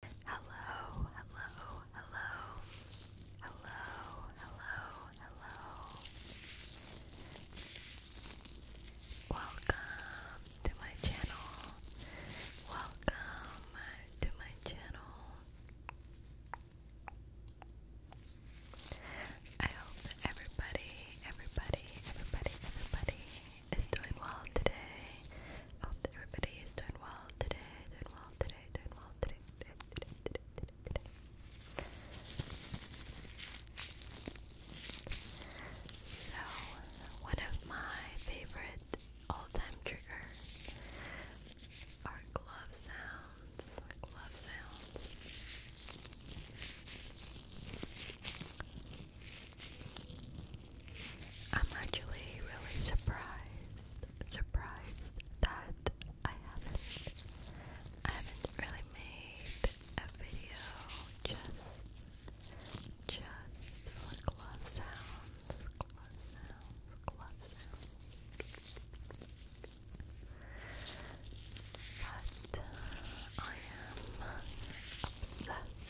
Hello, hello, hello, hello, hello, hello. Welcome to my channel. Welcome to my channel. I hope everybody, everybody, everybody, everybody is doing well today. hope that everybody is doing well today, doing well today, doing well today, today, today, today, today, today. So, one of my favorite all-time triggers are glove sounds, glove sounds. I'm actually really surprised, surprised that I haven't, I haven't really made a video just, just for sounds, glove sounds, glove sounds. But uh, I am obsessed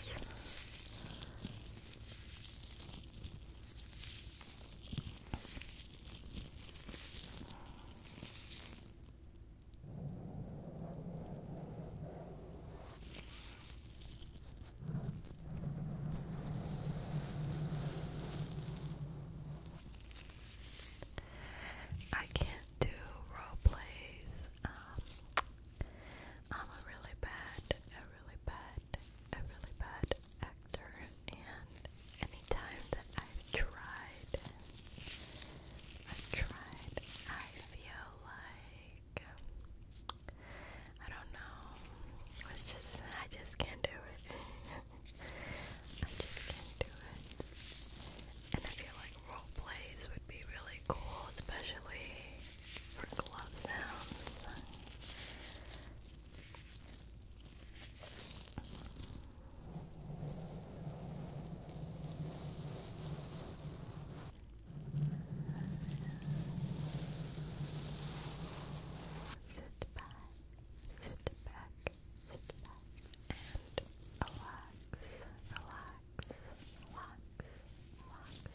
I can't do role plays. Um, I'm a really bad, a really bad, a really bad actor, and anytime that I've tried, I've tried, I feel like I don't know. It's just I just can't do it. I just can't do it. And I feel like role plays would be really cool, especially for glove Sit back, sit back, sit back, and relax, relax, relax, relax.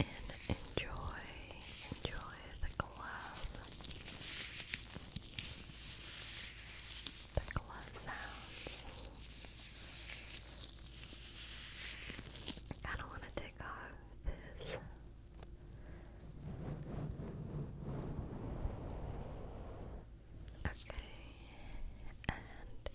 and enjoy, enjoy the glove, the glove sounds. I don't want to take off this. Okay, and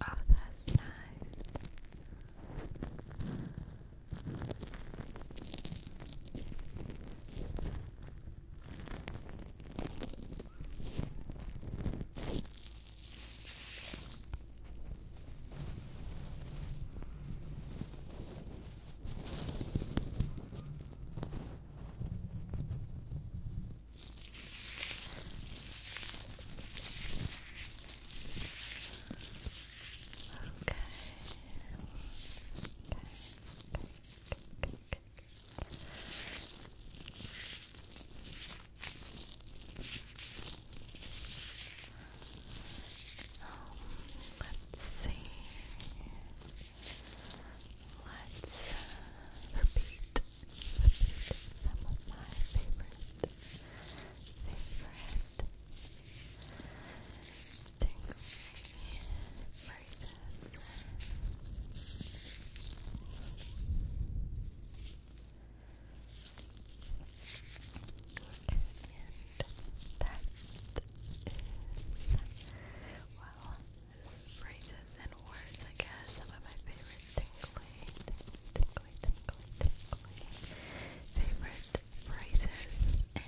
Oh, that's nice. Okay. Um, let's see. Let's repeat, some of my favorite, favorite tingly phrases. And that is, well, phrases and words, I guess, some of my favorite tingly, tingly, tingly, tingly, favorite phrases and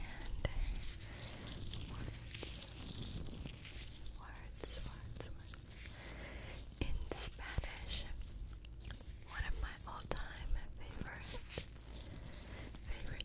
words, words, words, words. In Spanish, one of my all-time favorite, favorite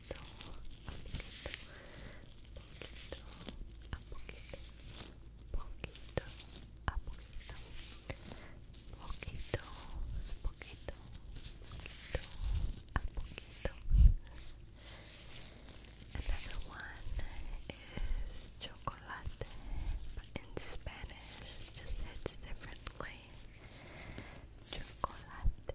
poquito, a Another one is chocolate, but in Spanish it differently. Chocolate,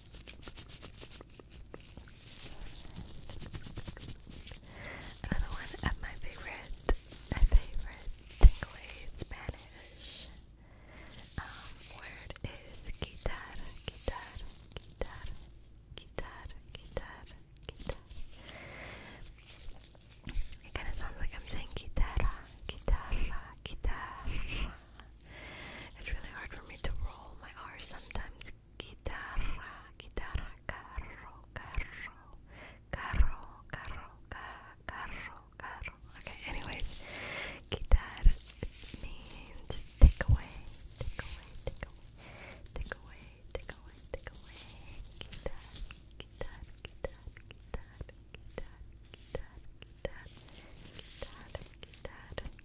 Another one of my favorite, my favorite tingly Spanish um, word is quitar, quitar, quitar, quitar, quitar, quitar. It kind of sounds like I'm saying guitarra, guitarra, guitarra. It's really hard for me to roll my R sometimes. Guitarra, guitarra, carro, carro, carro, carro, carro, carro. Okay, anyways, guitar means take away, take away, take away, take away, take away, take away. Guitar, guitar, guitar, guitar, guitar, guitar, guitar, guitar, guitar.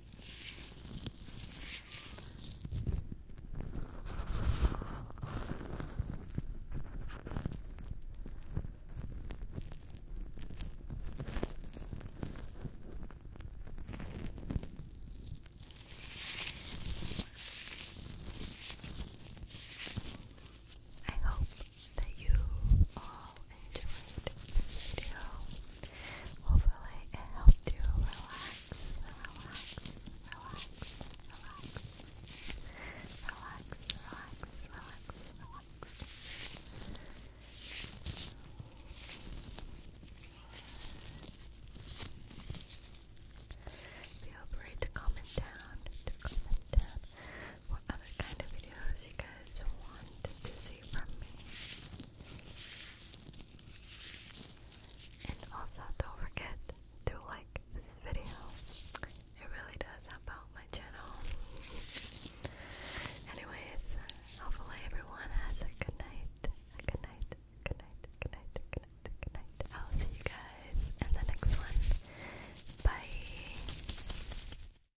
I hope that you are all enjoyed this video. Hopefully it helped you relax, relax, relax, relax, relax, relax, relax, relax. Feel free to comment down what other kind of videos you guys want to see from me. And also don't forget to like this video. It really does help out my channel. Anyways, hopefully everyone has a good night. A good night. Good night. Good night. Good night. Good night. I'll see you guys in the next one. Bye.